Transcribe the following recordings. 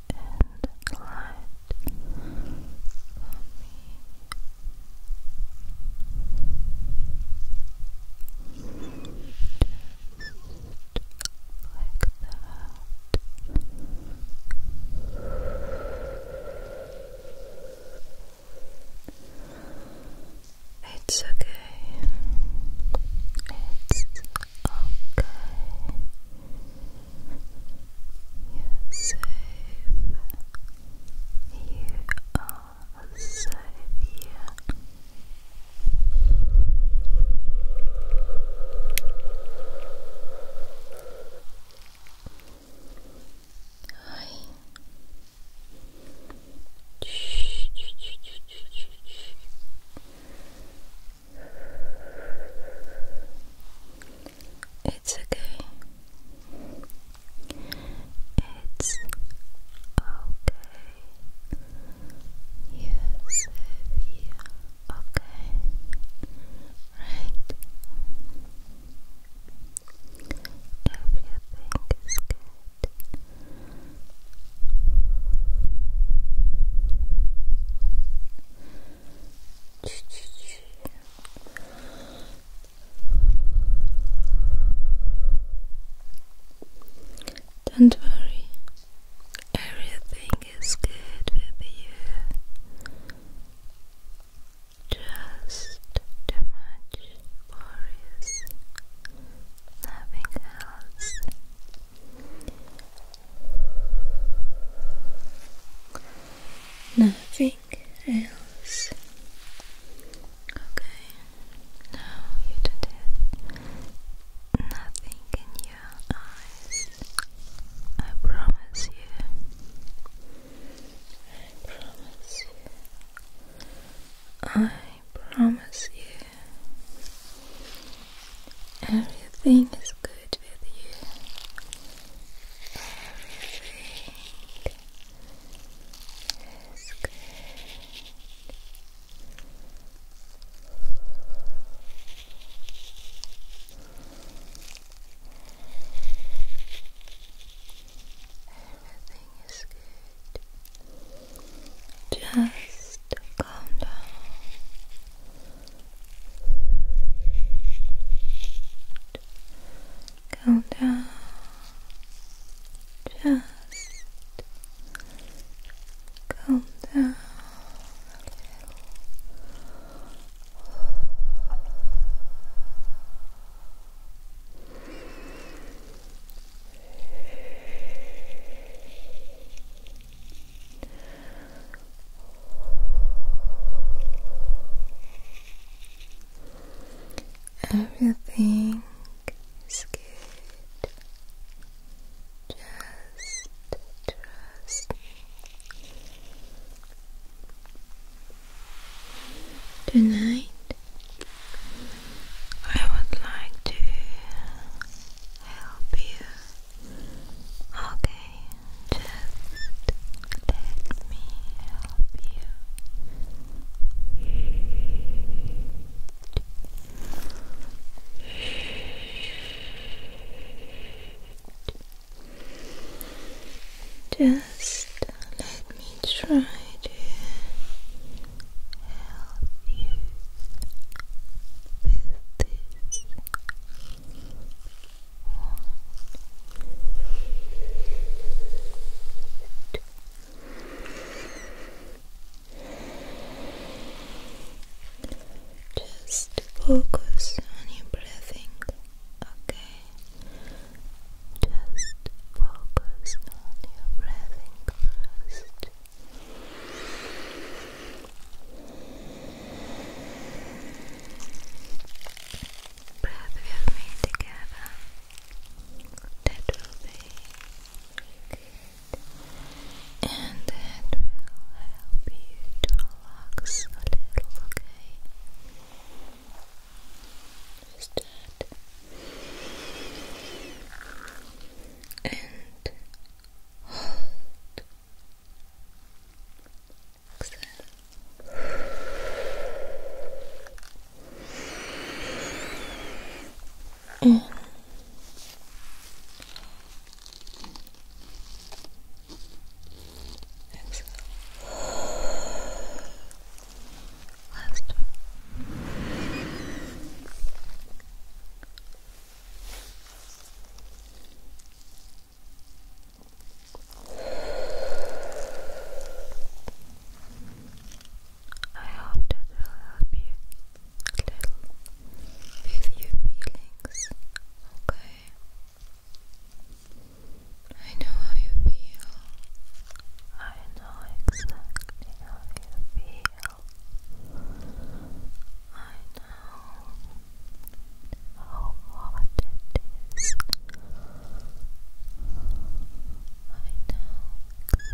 and light for me. Just like that. It's okay. It's okay. You're You are safe here. Hi. Shh, shh, shh, shh, shh, shh. It's okay. It's okay. You're Okay. Right. Everything is good. Don't worry, everything is good with you. Just too much worries, nothing else. Nothing else. Okay, now you did it. Nothing in your eyes. I promise you. I promise you. I promise you. Everything is good shared you everything is good. Everything is good. Just calm down. Go down. Just calm down a little. Everything is good. Just trust Tonight, I would like to help you. Okay. Just let me help you. Just let me try to help you with this just focus on your breathing, okay? Just focus on your breathing first breath with me together. That will be good. And that will help you to relax a little, okay? Just that. And hold exhale. Exhale. Last one. I hope that will help you a little with your feelings, okay? I know how you feel. I know exactly how you feel. I know how hot it is. I know how you're feeling right now. It's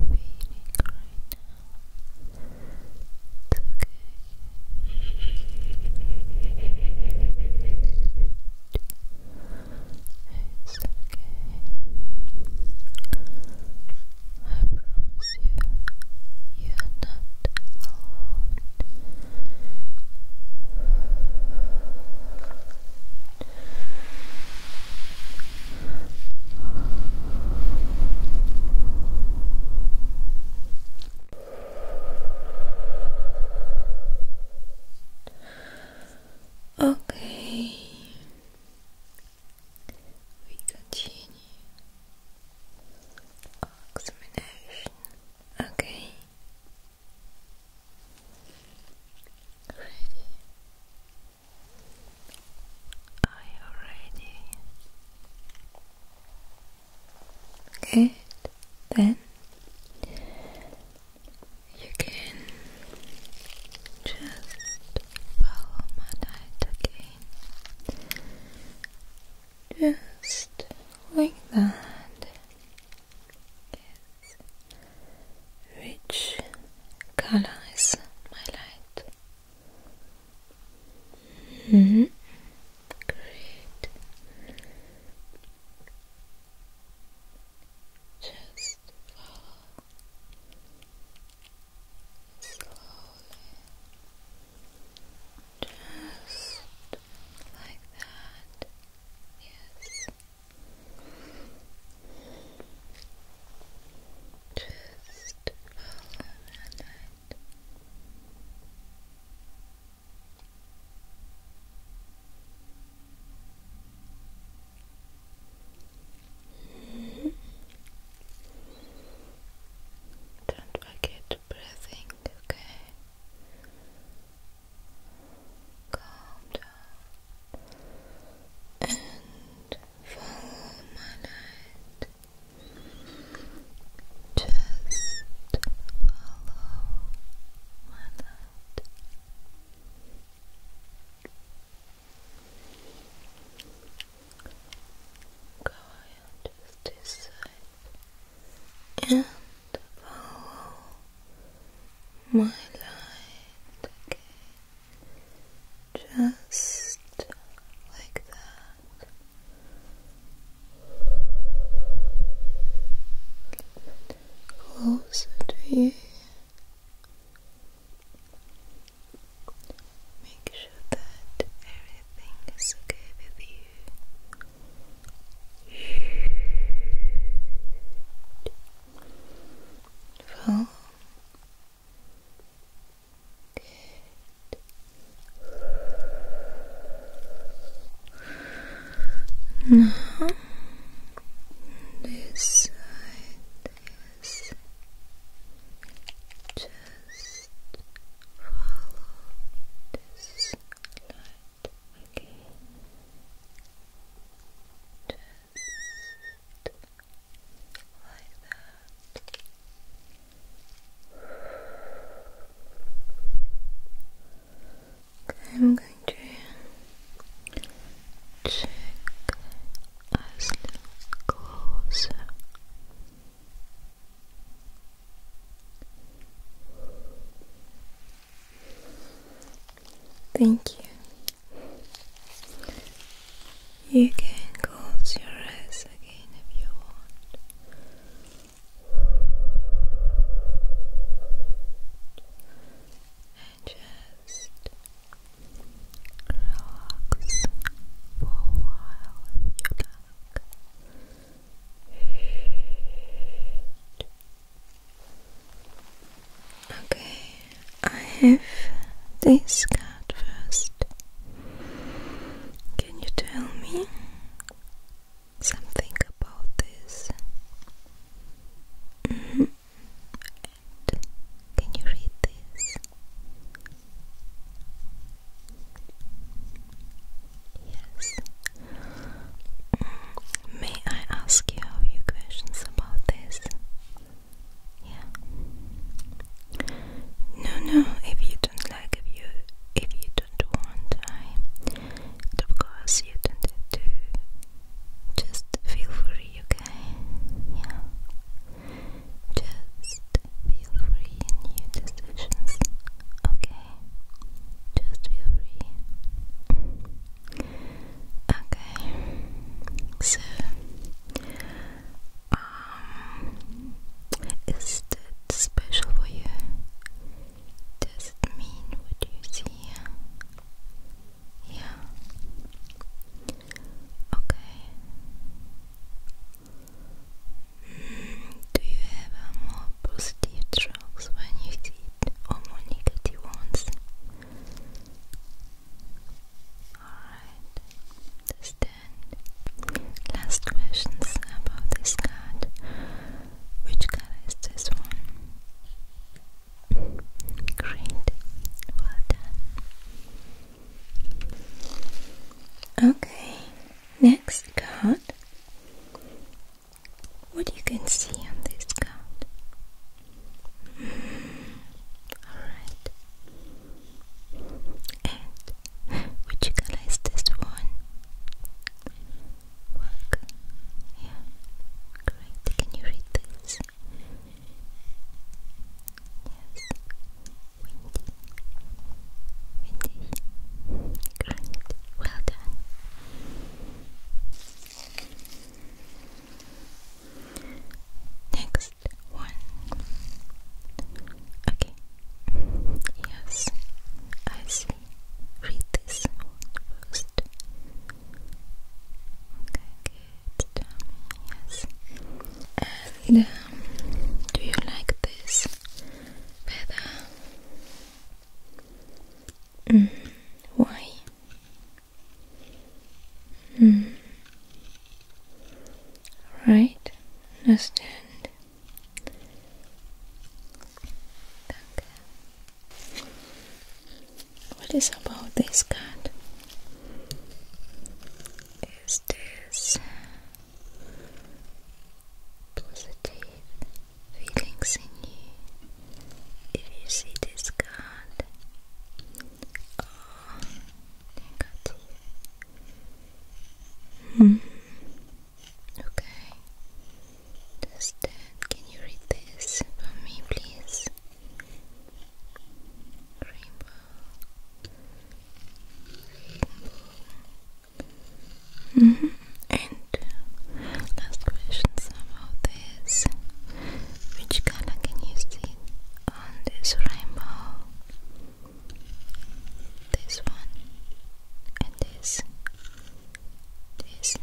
okay. It's okay. You're not alone. Okay, we continue examination. Okay. Ready? Are you ready? Good. Then you can just follow my light again just like that. Which color my light? -hmm. Great. Just slowly, just like that, yes, just follow that light. Don't forget breathing, okay? Calm down and follow my light. Just follow my light. Go and just this and follow my light, okay? Just like that. Closer to you. Make sure that everything is okay with you. Well, good. Now, this side is just Follow this light again. Just like that. Okay, I'm going to check us a Thank you. You can close your eyes again if you want. And just relax for a while Okay, I have this card first. Can you tell me something about this? Mm-hmm. can you read this? Yes. May I ask you a few questions about this? Yeah. No, no. If you don't like, if you, if you don't want, I, of course, you don't have to. Just feel free, okay? Yeah. Just feel free in new decisions, okay? Just feel free. Okay, so um, is that special for you? Does it mean what you see Yeah. Okay. Do you have more positive strokes when you sit or more negative ones? Alright, understand. Last questions about this card. Which card is this one? Great, well done. Okay, next card. What you can see on this card? Hmm, alright. And which color is this one? Work. Yeah. Great. Can you read this? Yes. Windy. Windy. Great. Well done. Next one. Okay. Yes, I see. Read this one first. Okay, Yes. And um, do you like this better? Mm, why? Mm. Right, understand. Danke. What is about this card? Is this positive feelings in you if you see this card negative. Hmm. Okay. Does uh, can you read this for me please? Rainbow Mm And last question about this. Which color can you see on this rainbow? This one and this. This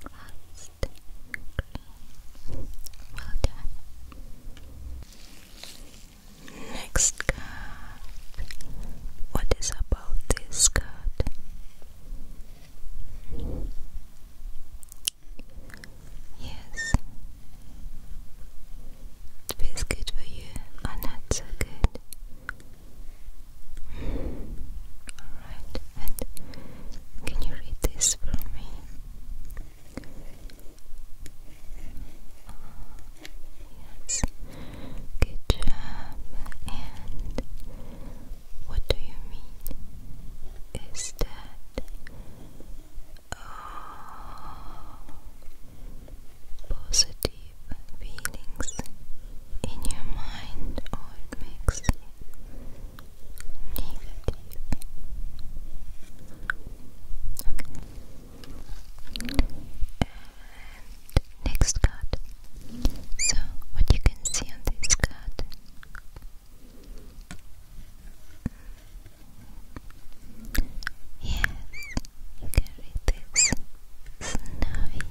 last green. Well done. Next card. What is about this card? Yes. It good for you or oh, not so good? Alright, and can you read this for me? Yes. Good job. And what do you mean? Is that oh, positive feelings in your mind or it makes negative? Okay. And next card. So, what you can see on this card Yes, you can read this snowy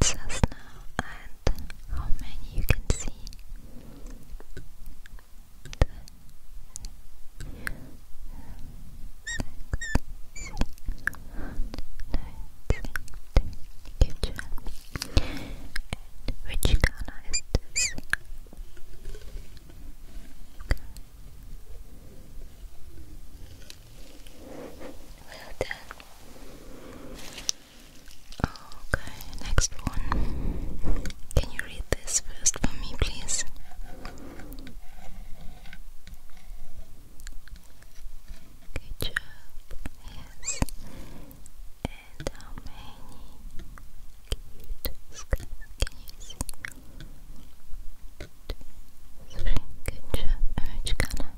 it's a snow and how many you can see which Ghana Well done. Okay, next one. Can you read this first for me, please? Ketchup is and how many cute skulls can you see? Two, good job. Orange color.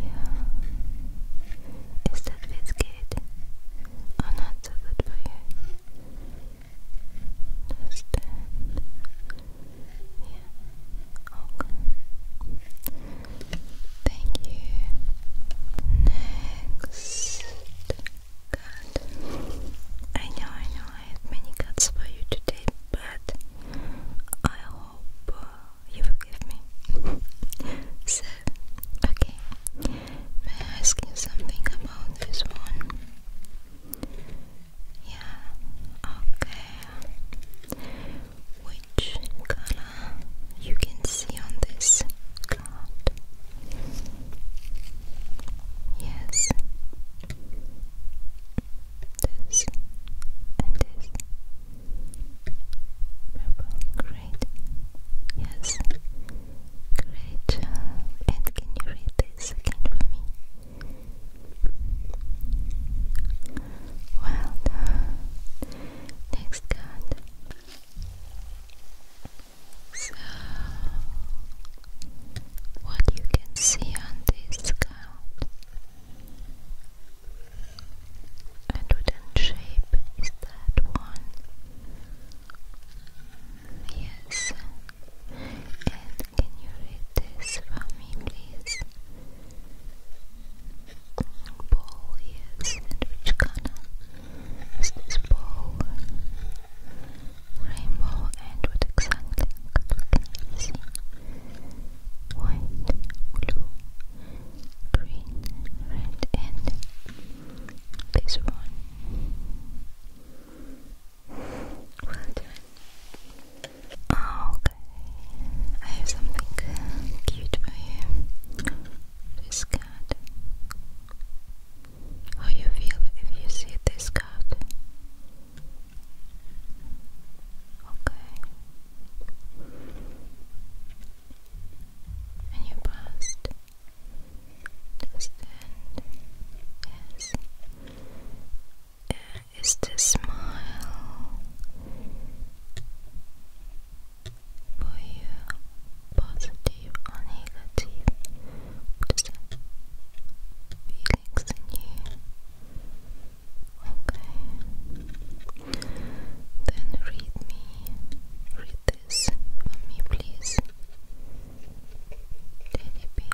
Yeah. Is that biscuit? Oh, not so good for you. Understand? Yeah. Okay. Thank you. Next cut. I know, I know, I have many cuts for you today, but I hope uh, you forgive me. so, okay, May I ask you something about this one? Yeah, okay. Which color you can see on this card? Yes. This and this. Purple, great. Yes. Great uh, And can you read this again for me? Well uh, Next card. So, what you can see on this card and wooden shape is that one yes. And can you read this for me, please? Ball, yes. And which color is this ball? Rainbow. And what exactly can I see? White, blue, green, red, and this one. Oh, okay. I have something cute for you. This card. How you feel if you see this card? Okay. And you passed yes uh, is the smile for you positive or negative? Feelings in you? Okay. Then read me. Read this for me, please. Teddy bear,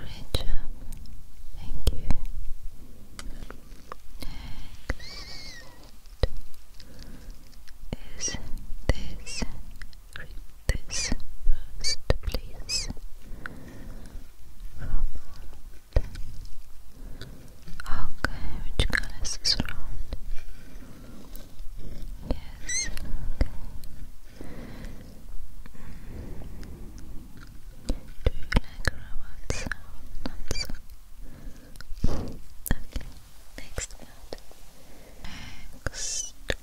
Great job. Thank you. Next this. this first, please. Okay, which color round? Yes, okay. Do you like robot sound? Not Okay, Next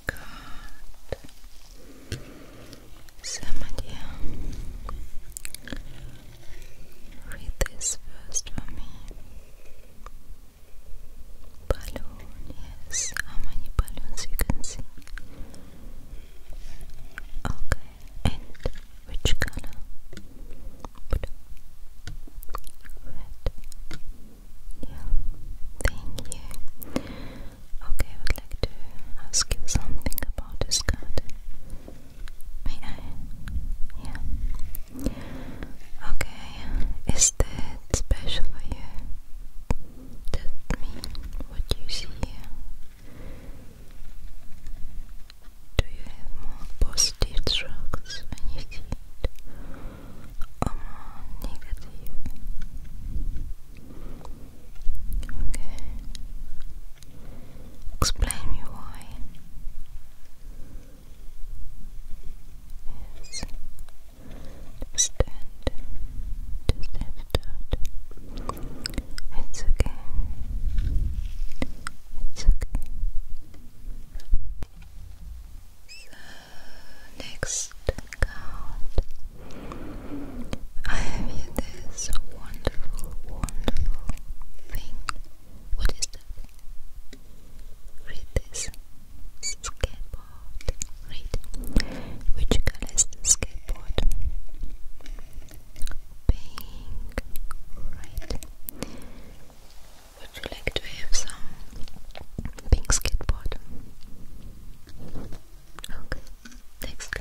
card. Samadhi. Read this first for me. Balloon, How many balloons you can see? Okay, and which color? Red. Yeah, thank you. Okay, I would like to ask you something about this card. May I? Yeah. Okay, is that special for you? That mean what you see Do you have more positive struggles when you see it? Or more negative? Okay. Explain me why is stand to stand out. It's okay. It's okay. So next card I have here this wonderful, wonderful thing. What is that? Read this. Skateboard. Read. Which color skateboard? Pink. Right. Would you like to have some pink skateboard? Okay. Next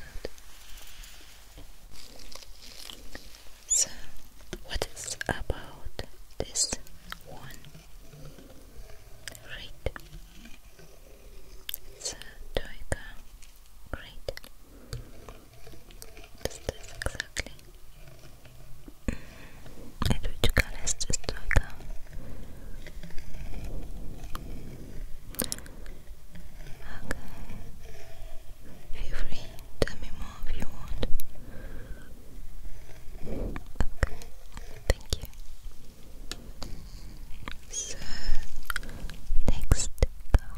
So, what is about this one. Right. So Toika. Great. Does this exactly? And which color is this Toika? Okay. Feel free. Tell me more if you want. Okay, thank you. So, next card.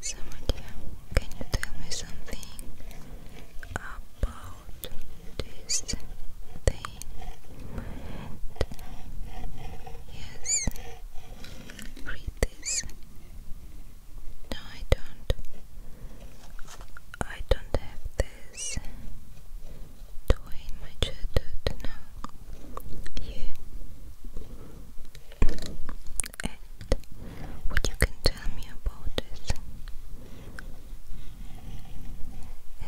Someone can you tell me something about this thing? yes, read this. No, I don't. I don't have this toy in my childhood. No. Yeah. And what you can tell me about this?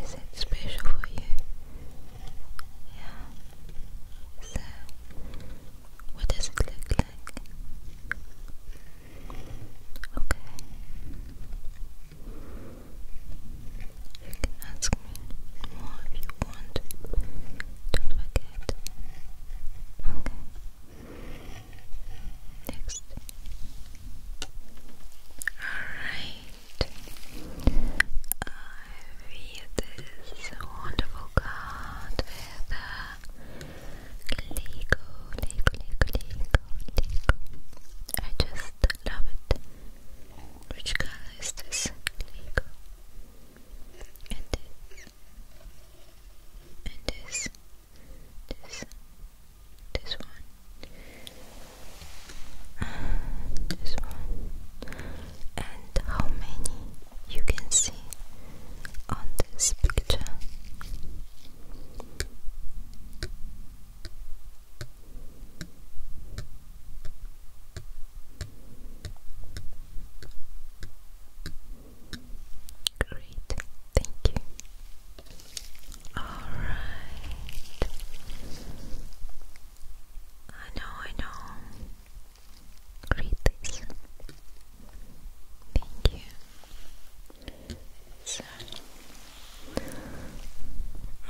Is it special for you? Yeah. So, what does it look like? think. Okay. You can ask me more if you want. Don't forget. Okay. Next. Alright. I read this wonderful card with Lego, Lego, Lego, Lego, Lego. I just love it. Which color is this? And this. And this. This. This one. This one. And how many you can see? on this picture. Great, thank you. All right. I know, I know. Read this. Thank you. So,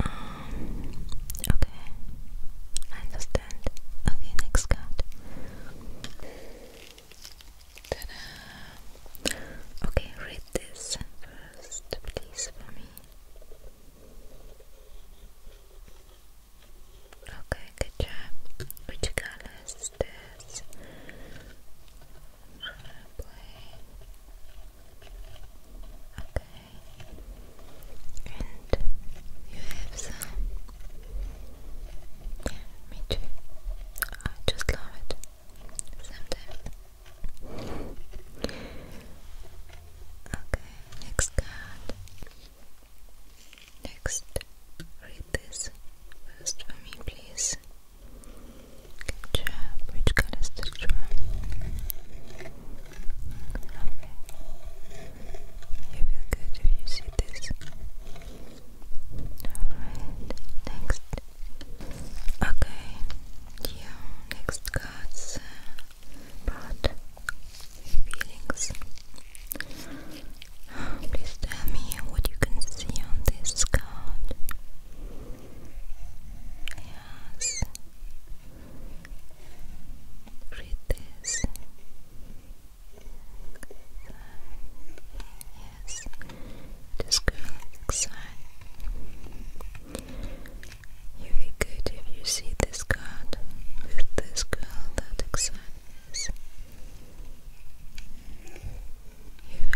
um, okay, I understand. Okay, next card. Okay, read this first, please, for me. Okay good job. Which color is this? Okay. And you have some. Yeah, me too. I just love it. Sometimes. Okay, next card. Next, read this first for me, please. Capture which colors to draw. Okay. You feel good if you see this. Alright, next. Okay, your next card's uh, about feelings. Please tell me what you can see on this card. Yes. Read this. Yes. This girl looks You'd be good if you see this card with this girl that excited you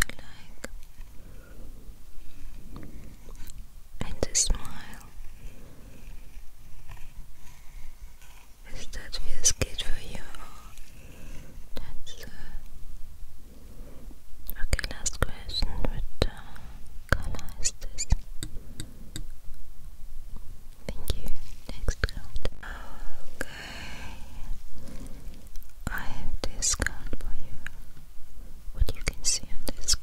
like and the smile is that feels good for you that's uh, okay last question what uh, color is this thank you next round I have this for you. What you can see on this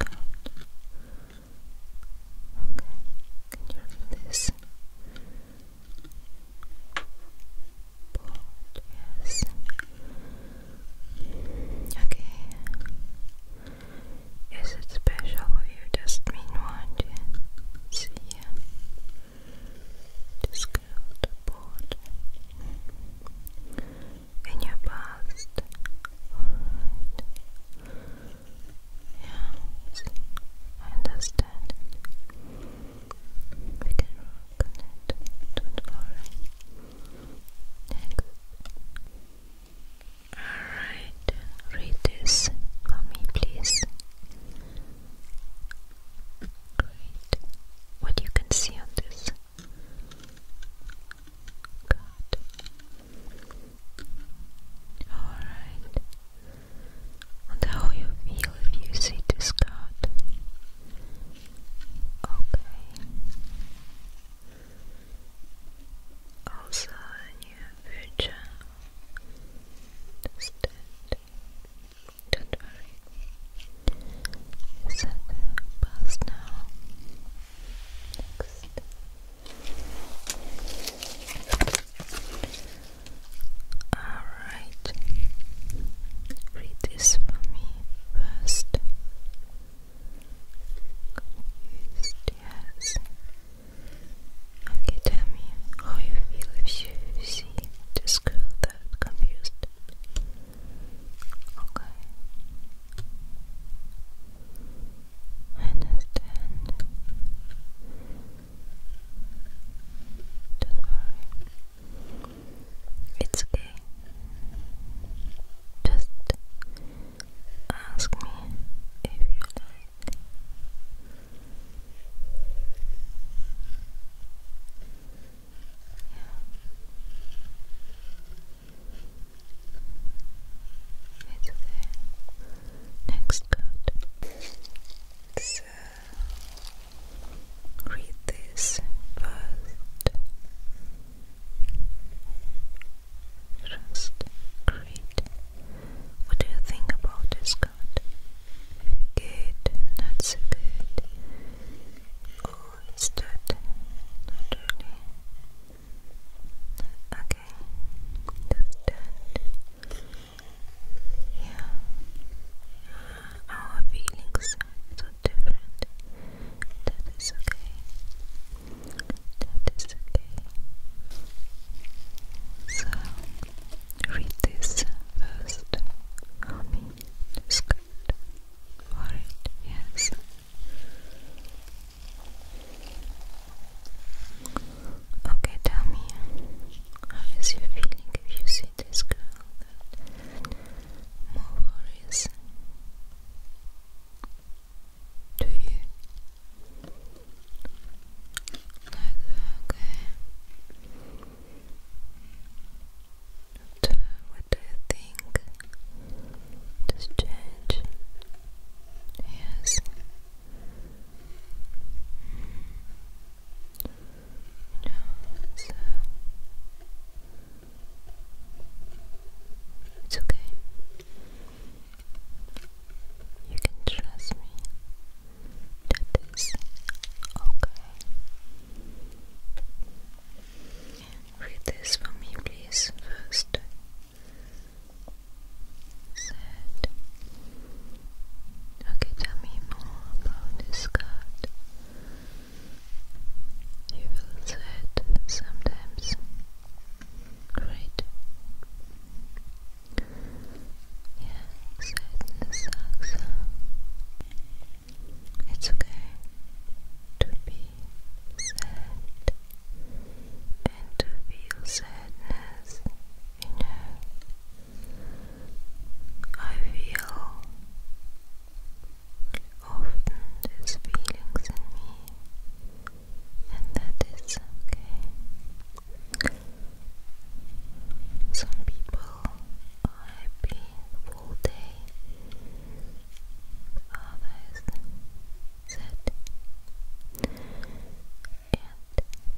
Okay, can you read this? yes. Okay. Is it special for you? Just mean one, See ya. Just go to board in your past. Alright. I understand We can work Don't worry. Next. Alright, read this for me, please. Great. What you can see on this? God. Alright. And how you feel if you see this card? Okay. Also a new future. Don't worry. It's at past now. Alright. Read this for me first. Confused, yes. Okay, tell me how you feel this girl that confused. Okay. I understand. Don't worry. It's okay. Just ask me if you like. Yeah. It's okay. Next card. So uh, read this first. Trust. Great. What do you think about this good. Good, not so good. Oh, it's that Okay, that's Yeah. Our feelings are so different. That is okay. That is okay. So Read this first for me. It's good. yes. Okay, tell me, how is your feeling if you see this girl more worries do you? Like, okay what do you think? Does change? Yes. No, it's okay. You can trust me that is okay. Read this for me, please, first. Said. Okay, tell me more about this You will say it sometimes. Great. Yeah, sadness It's okay to be sad and to feel sadness, you know. I feel often these feelings in me, and that is okay. Some people are happy full day, others sad, and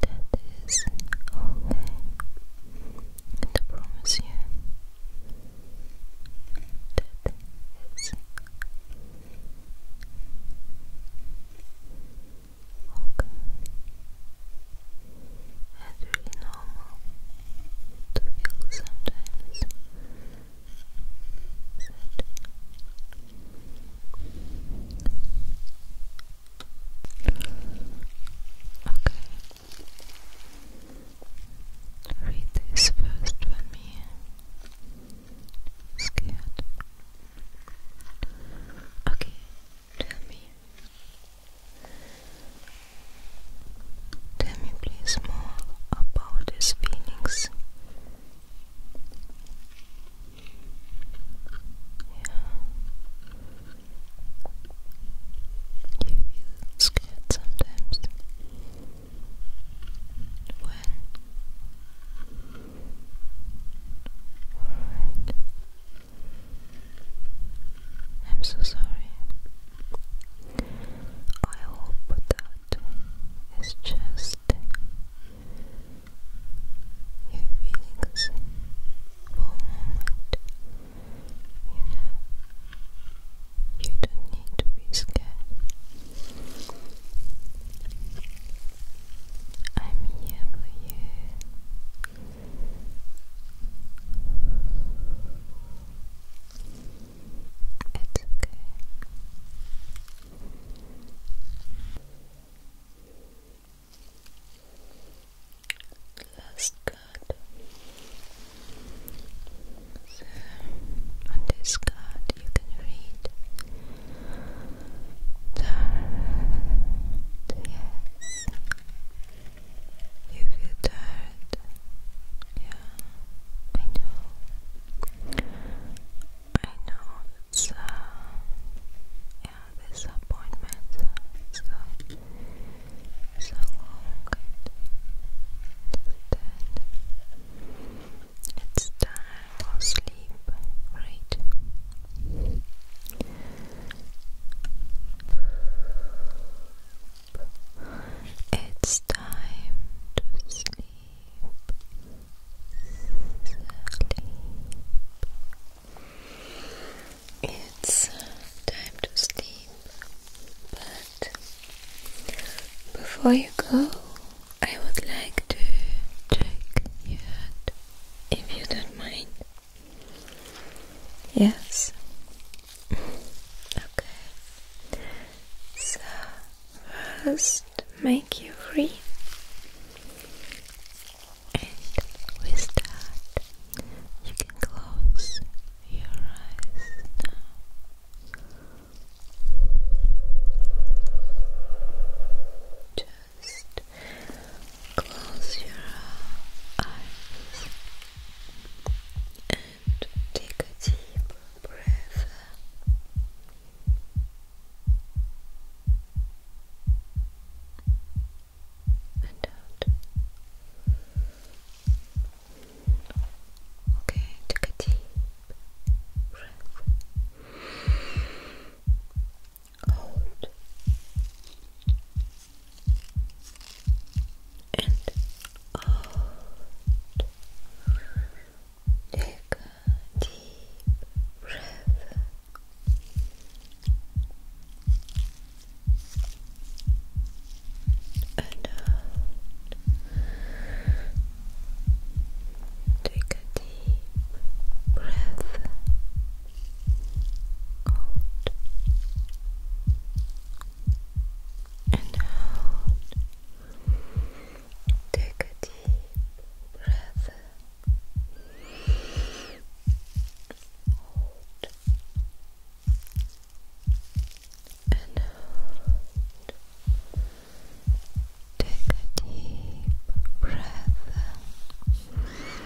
that is okay. And I promise you that it's okay. It's really normal to feel sometimes Okay. Read this first when me scared. Okay, Tell me. Tell me, please, more about these feelings. Yeah. You feel scared sometimes. When? I'm so sorry. I hope that it's just your feelings for a moment. You you don't need to be scared. I'm here for you. It's okay. Last card. So, on this card, you can read Yes. You feel tired? Yeah, I know. I know it's uh, yeah, this appointment so so long. Understand? It's time for sleep, right? It's time to sleep. It's time to sleep. But before you go, I would like to check your head if you don't mind. Yes. okay. So first make you free. And with that you can close your eyes now. Just Close your eyes and take a deep breath. And out. Okay, take a deep breath cold and out. Uh, take a deep breath. And out. Take a deep breath out Take a deep breath. Hold Take a deep breath.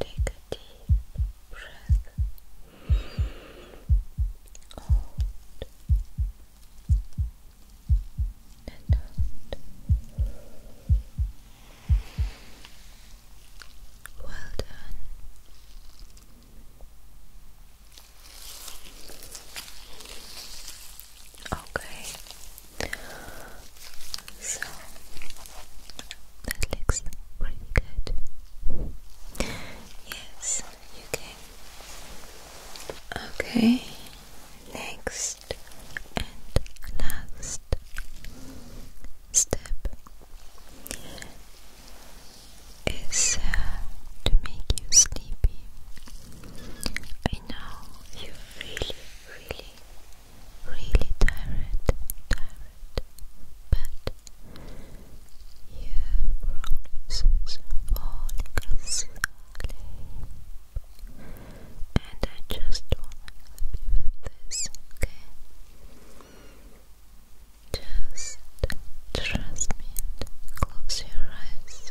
Take a deep breath. Well done. Okay, so that looks pretty good. Yes, you can. Okay, next and last step is uh, to make you sleepy. I know you really, really really tired, tired, but your promises falling and I just wanna help you with this, okay? Just trust me close your eyes.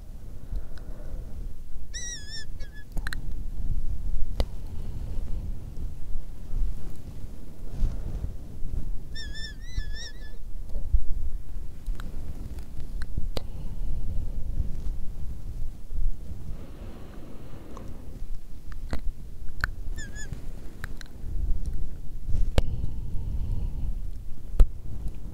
Deep breath.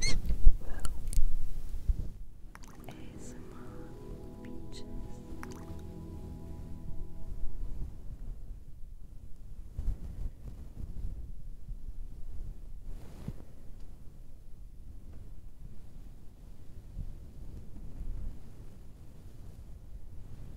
Good night. Sleep well. ASMR Beaches.